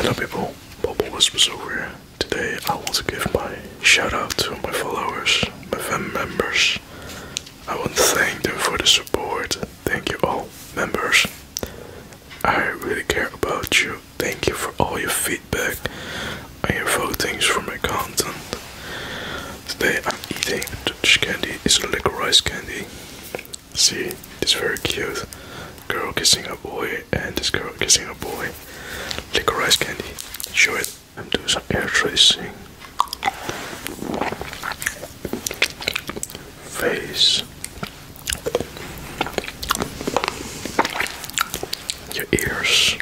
Hello people, Bubble Whispers over here. Today I want to give my shout out to my followers, my fan members. I want to thank them for the support. Thank you all members. I really care about you. Thank you for all your feedback and your things from my content. Today I'm eating Dutch candy, it's like rice candy. See, this very cute girl kissing a boy and this girl kissing a boy. Licorice candy. Show it. I'm doing some air tracing. Face. Your ears.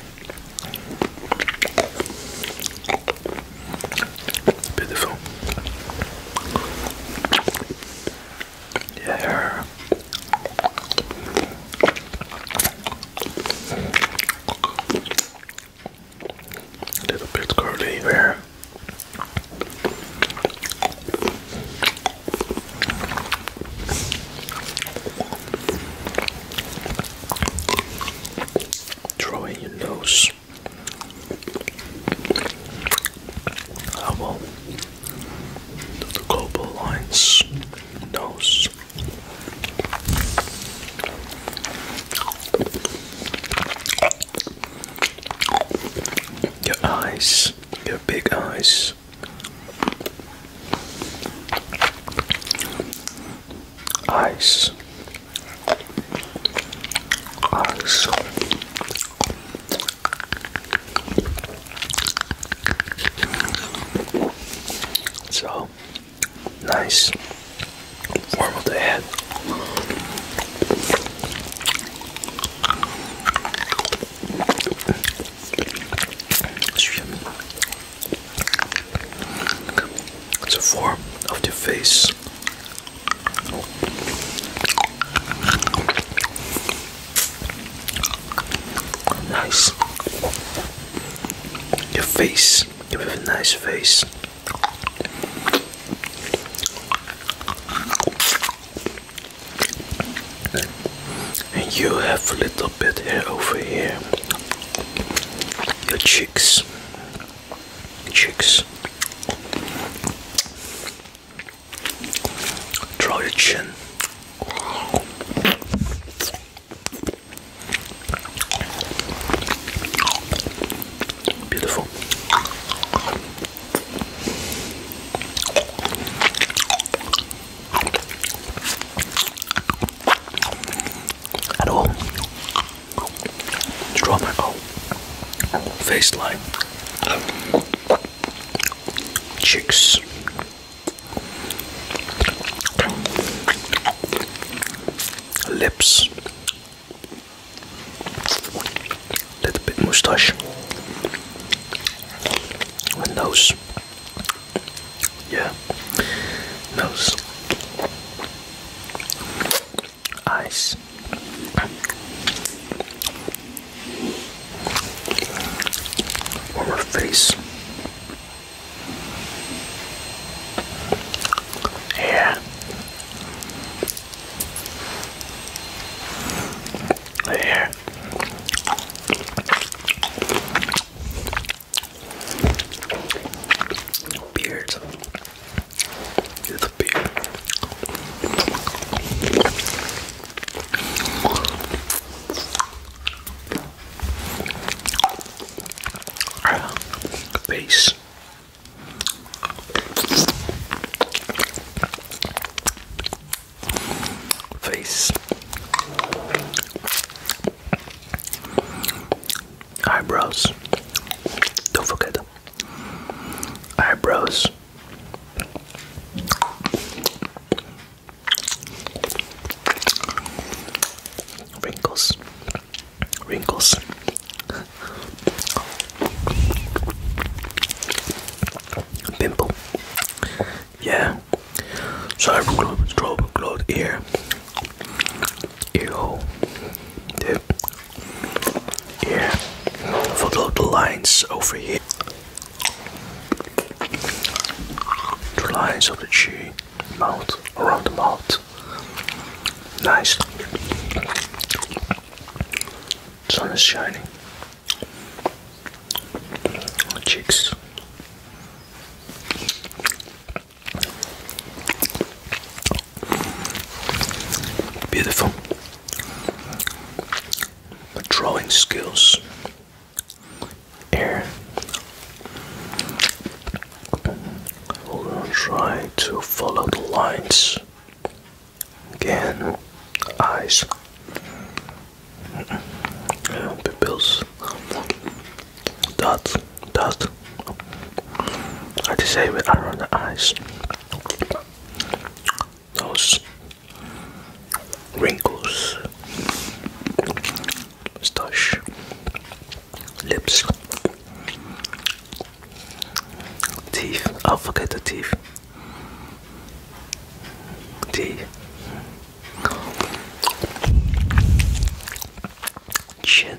Beautiful. Yeah. little bit curly hair. Drawing your nose. How about the cobaline's lines nose? Your eyes, your big eyes. Eyes. Eyes. So nice form of It's a form of the face. Nice. Your face. You have a nice face. And you have a little bit hair over here. Your cheeks. Chicks, draw your chin. Beautiful. At Draw my oh. face line, cheeks. Lips, little bit mustache, nose, yeah, nose, ice. On her face. Yeah. Yeah. Beard. It's a big. Face, eyebrows. Don't forget eyebrows. Wrinkles, wrinkles. Pimple, yeah. So I have a cloth here you. Dude. Yeah. Follow the lines over here. The lines of the cheek, mouth, around the mouth. Nice. Sun is shining. Cheeks. Beautiful. drawing skills. Air. We're try to follow the lines. Again, eyes, pupils, dots, dot. I just say it around the eyes. Those wrinkles, moustache, lips, teeth. i forget the teeth. Teeth. Chin.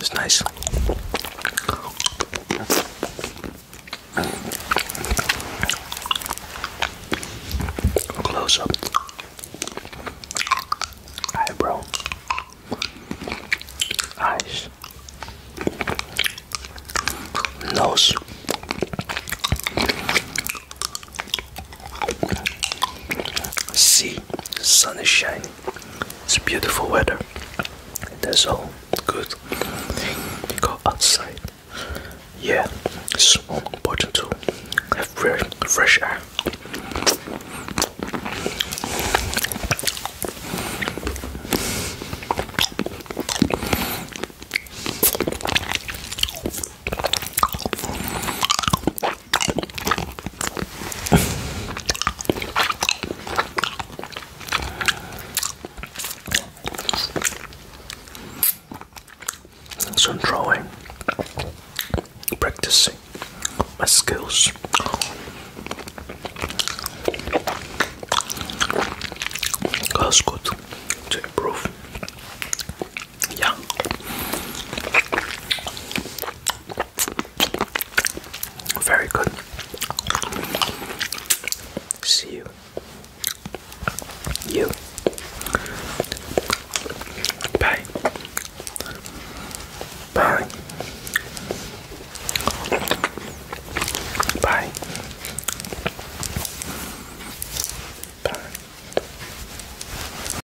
It's nice. Close up. Eyebrow. Eyes. Nose. See, sun is shining. It's beautiful weather. That's all good. Go outside. Yeah, it's important to have fresh air. So I'm drawing, practicing my skills. That's good to improve. Yeah. Very good. See you. You. Bye. Bye. Bye. Bye.